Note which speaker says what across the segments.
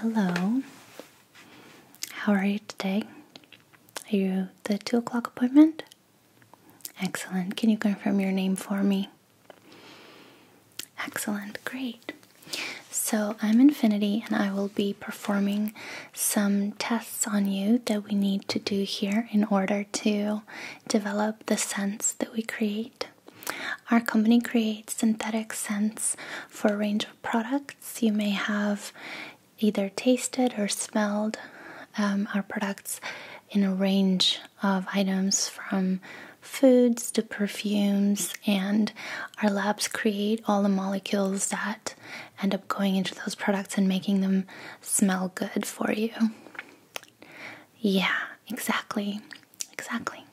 Speaker 1: Hello. How are you today? Are you the two o'clock appointment? Excellent. Can you confirm your name for me? Excellent. Great. So I'm Infinity and I will be performing some tests on you that we need to do here in order to develop the sense that we create. Our company creates synthetic scents for a range of products. You may have either tasted or smelled um, our products in a range of items from foods to perfumes, and our labs create all the molecules that end up going into those products and making them smell good for you. Yeah, exactly. Exactly.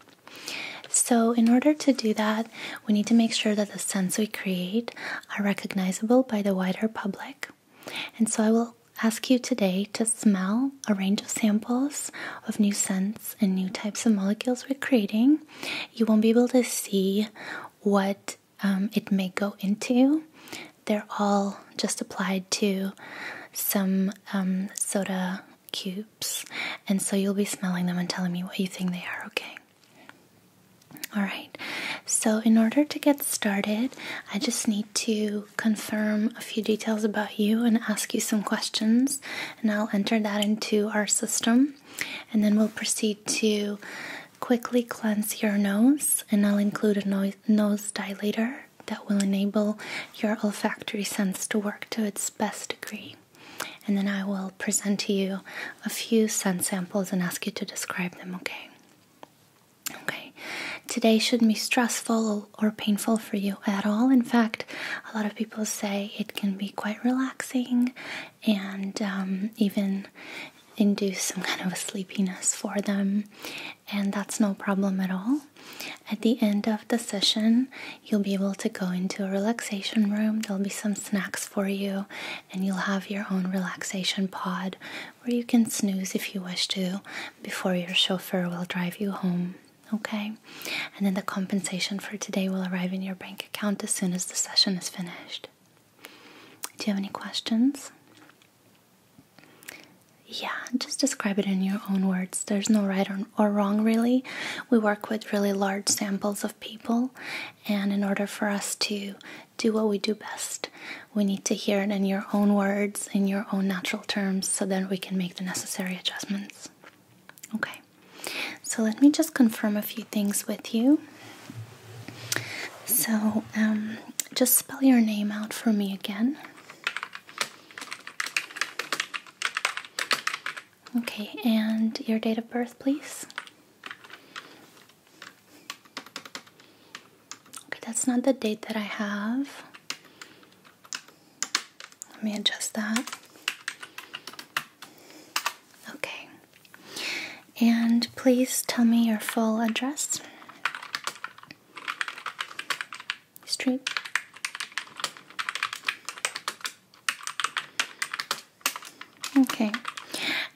Speaker 1: So, in order to do that, we need to make sure that the scents we create are recognizable by the wider public. And so, I will ask you today to smell a range of samples of new scents and new types of molecules we're creating. You won't be able to see what um, it may go into, they're all just applied to some um, soda cube and so you'll be smelling them and telling me what you think they are, okay? Alright, so in order to get started, I just need to confirm a few details about you and ask you some questions, and I'll enter that into our system, and then we'll proceed to quickly cleanse your nose, and I'll include a nose dilator that will enable your olfactory sense to work to its best degree and then I will present to you a few scent samples and ask you to describe them, okay? Okay, today shouldn't be stressful or painful for you at all. In fact, a lot of people say it can be quite relaxing and um, even induce some kind of sleepiness for them, and that's no problem at all. At the end of the session, you'll be able to go into a relaxation room. There'll be some snacks for you, and you'll have your own relaxation pod where you can snooze if you wish to before your chauffeur will drive you home. Okay? And then the compensation for today will arrive in your bank account as soon as the session is finished. Do you have any questions? Yeah, just describe it in your own words. There's no right or or, wrong, really. We work with really large samples of people, and in order for us to do what we do best, we need to hear it in your own words, in your own natural terms, so that we can make the necessary adjustments. Okay, so let me just confirm a few things with you. So, um, just spell your name out for me again. Okay, and your date of birth, please. Okay, that's not the date that I have. Let me adjust that. Okay. And please tell me your full address straight. Okay,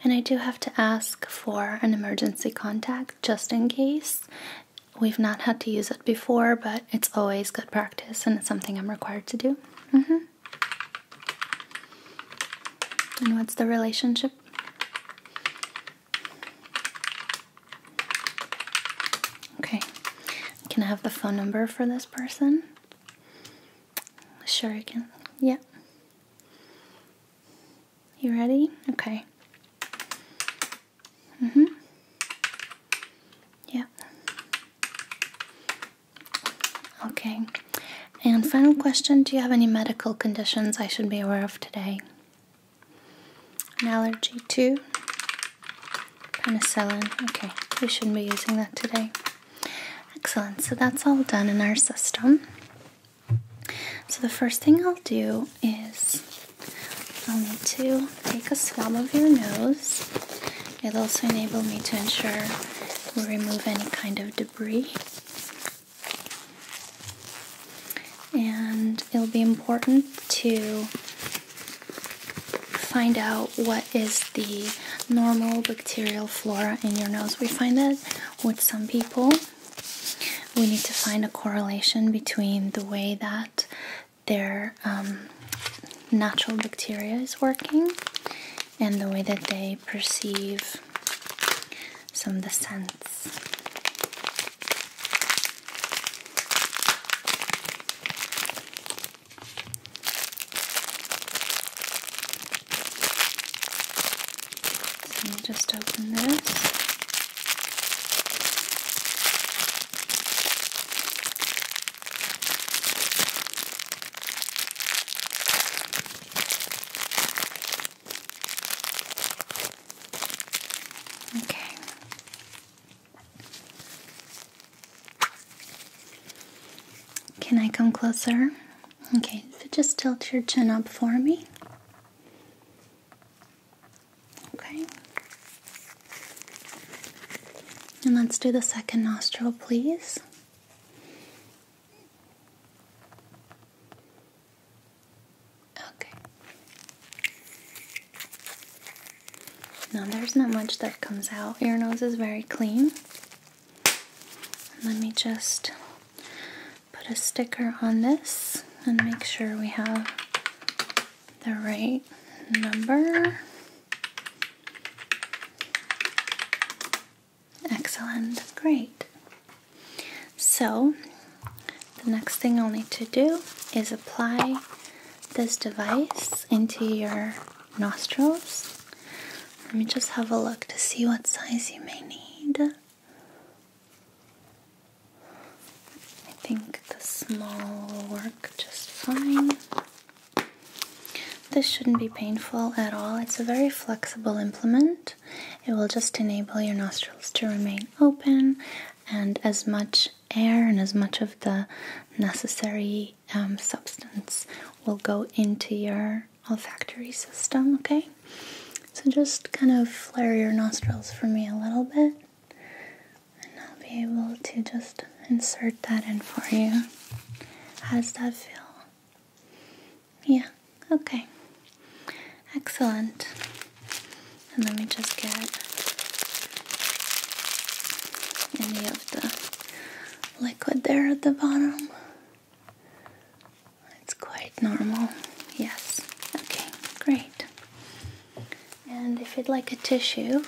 Speaker 1: and I do have to ask for an emergency contact just in case. We've not had to use it before, but it's always good practice and it's something I'm required to do. Mm-hmm. And what's the relationship? Okay, can I have the phone number for this person? Sure, you can. Yep. You ready? Okay. Mm hmm. Yep. Okay. And final question Do you have any medical conditions I should be aware of today? An allergy to penicillin. Okay, we shouldn't be using that today. Excellent, so that's all done in our system. So the first thing I'll do is I'll need to take a swab of your nose. It'll also enable me to ensure we remove any kind of debris. And it'll be important to find out what is the normal bacterial flora in your nose. We find that with some people, we need to find a correlation between the way that their um, natural bacteria is working and the way that they perceive some of the scents. So you just open this. Okay. Can I come closer? Okay, just tilt your chin up for me. Okay. And let's do the second nostril, please. Okay. Now there's not much that comes out. Your nose is very clean. Let me just put a sticker on this and make sure we have the right number. Excellent, great. So the next thing I'll need to do is apply this device into your nostrils. Let me just have a look to see what size you may need. I think the small will work just fine. This shouldn't be painful at all. It's a very flexible implement. It will just enable your nostrils to remain open and as much air and as much of the necessary um, substance will go into your olfactory system, okay? So just kind of flare your nostrils for me a little bit, and I'll be able to just insert that in for you. How does that feel? Yeah, okay. Excellent. And let me just get any of the liquid there at the bottom. It's quite normal. Yes. Okay, great. And if you'd like a tissue,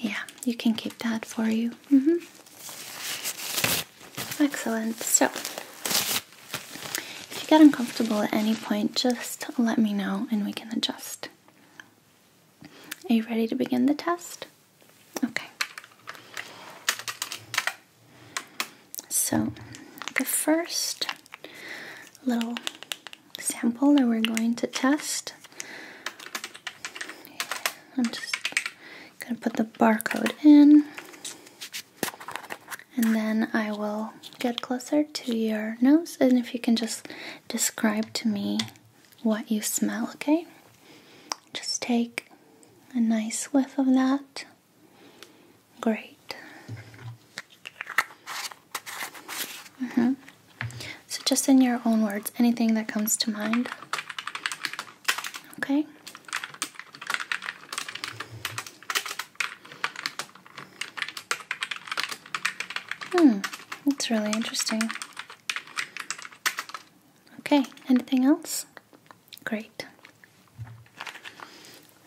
Speaker 1: yeah, you can keep that for you. Mm -hmm. Excellent. So, if you get uncomfortable at any point, just let me know and we can adjust. Are you ready to begin the test? Okay. So, the first little sample that we're going to test, I'm just going to put the barcode in. And then I will get closer to your nose, and if you can just describe to me what you smell, okay? Just take a nice whiff of that. Great. Mm-hmm. So, just in your own words, anything that comes to mind. Okay? Hmm, that's really interesting. Okay, anything else? Great.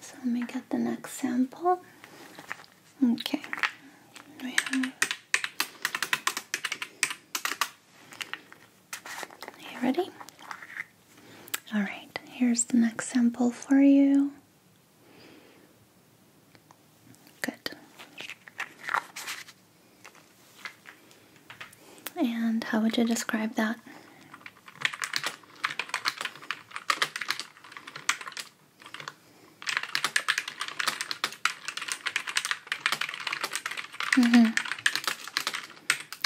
Speaker 1: So let me get the next sample. Okay, Are you ready? All right, here's the next sample for you. Good. And how would you describe that? Mm -hmm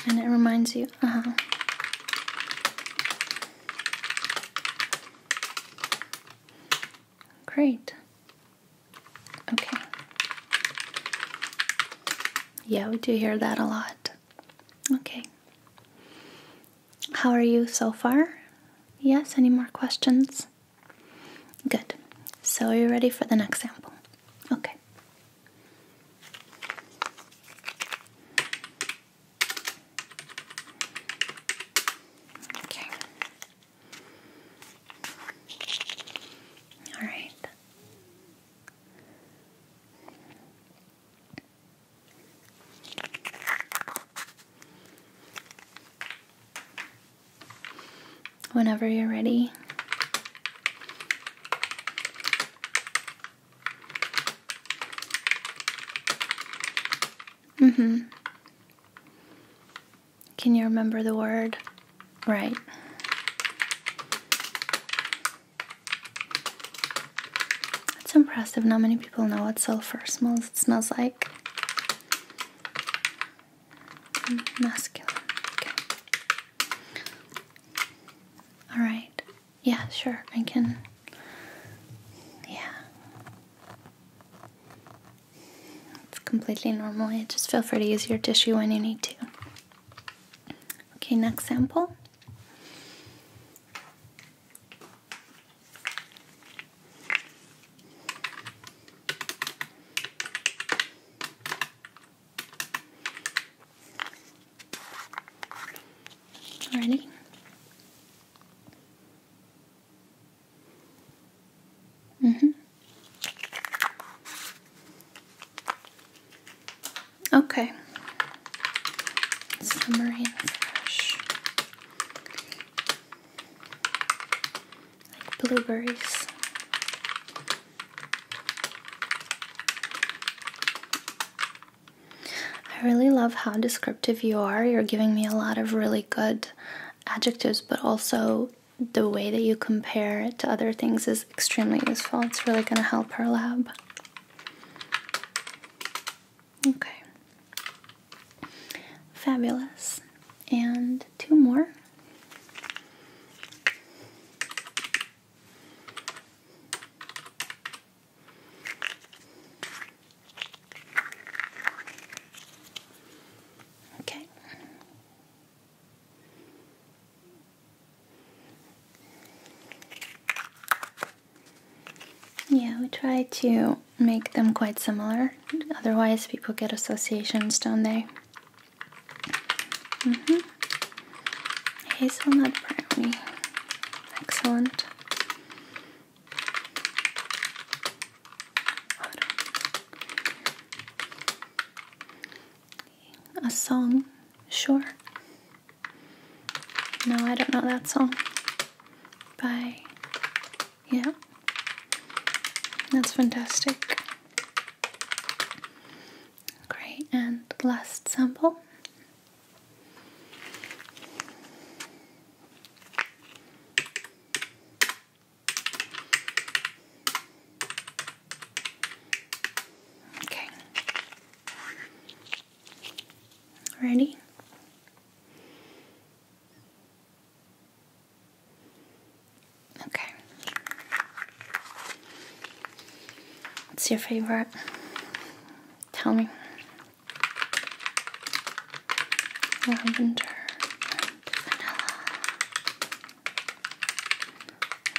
Speaker 1: and it reminds you, uh huh. Great. Okay. Yeah, we do hear that a lot. Okay. How are you so far? Yes, any more questions? Good. So, are you ready for the next sample? Okay. Okay. All right. Whenever you're ready, Mm hmm. Can you remember the word? Right. That's impressive. Not many people know what sulfur smells. It smells like mm, masculine. All right. Yeah, sure. I can. Yeah. It's completely normal. just feel free to use your tissue when you need to. Okay, next sample. Ready? Mm-hmm. Okay. Summer and fresh. Like blueberries. I really love how descriptive you are. You're giving me a lot of really good adjectives, but also the way that you compare it to other things is extremely useful. It's really going to help our lab. Okay. Fabulous. And two more. Okay. Yeah, we try to make them quite similar, otherwise, people get associations, don't they? Mm -hmm. Hazelnut brownie. Excellent. A song, sure. No, I don't know that song. Bye. yeah. That's fantastic. Great, and last sample. Okay. Ready? Okay. What's your favorite? Tell me. Lavender and vanilla.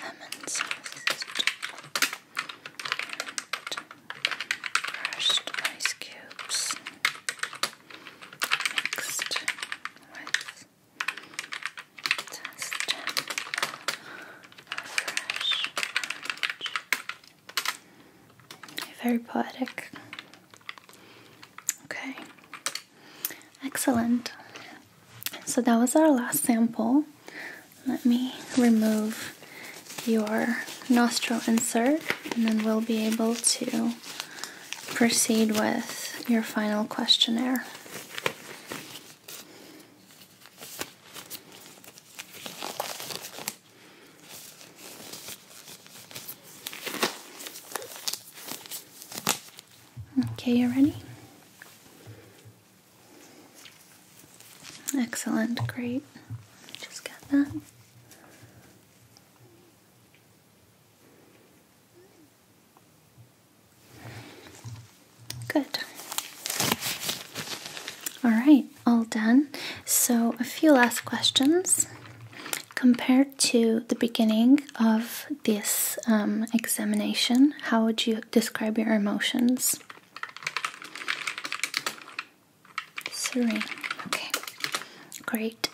Speaker 1: Lemon zest. Crushed ice cubes. Mixed with very poetic. Okay. Excellent. So that was our last sample. Let me remove your nostril insert and then we'll be able to proceed with your final questionnaire. Okay, you are ready? Excellent, great. Just got that. Good. All right, all done. So, a few last questions. Compared to the beginning of this um, examination, how would you describe your emotions? Serene. Okay, great.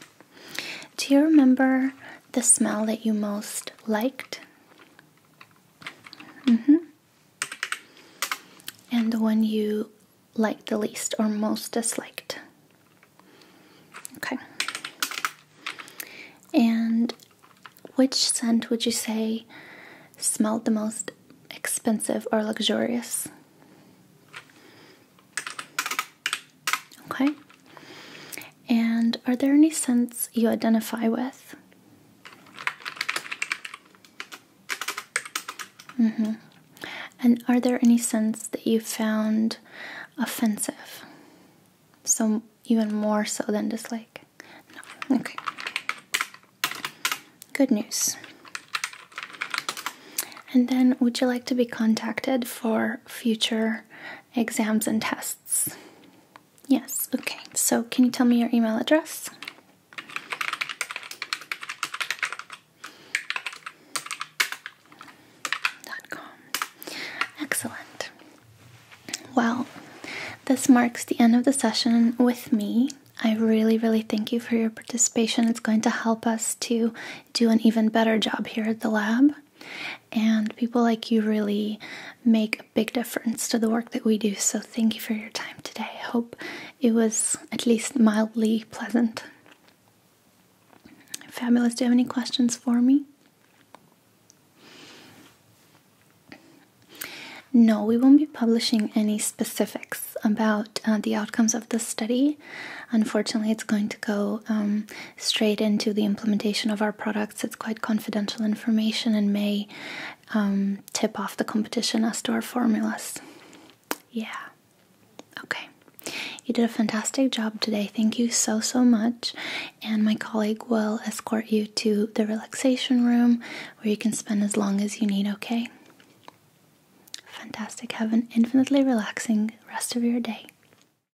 Speaker 1: Do you remember the smell that you most liked. Mm-hmm. And the one you liked the least or most disliked. Okay. And which scent would you say smelled the most expensive or luxurious? Okay. And are there any scents you identify with? -hmm. And are there any scents that you found offensive? So, even more so than dislike? Okay. Good news. And then, would you like to be contacted for future exams and tests. Yes, okay. So, can you tell me your email address? Excellent. Well, this marks the end of the session with me. I really, really thank you for your participation. It's going to help us to do an even better job here at the lab and people like you really make a big difference to the work that we do. So, thank you for your time today. I hope it was at least mildly pleasant. Fabulous. Do you have any questions for me? No, we won't be publishing any specifics about uh, the outcomes of this study. Unfortunately, it's going to go um, straight into the implementation of our products. It's quite confidential information and may um, tip off the competition as to our formulas. Yeah. Okay. You did a fantastic job today. Thank you so, so much. And my colleague will escort you to the relaxation room where you can spend as long as you need, okay? Fantastic. Have an infinitely relaxing rest of your day.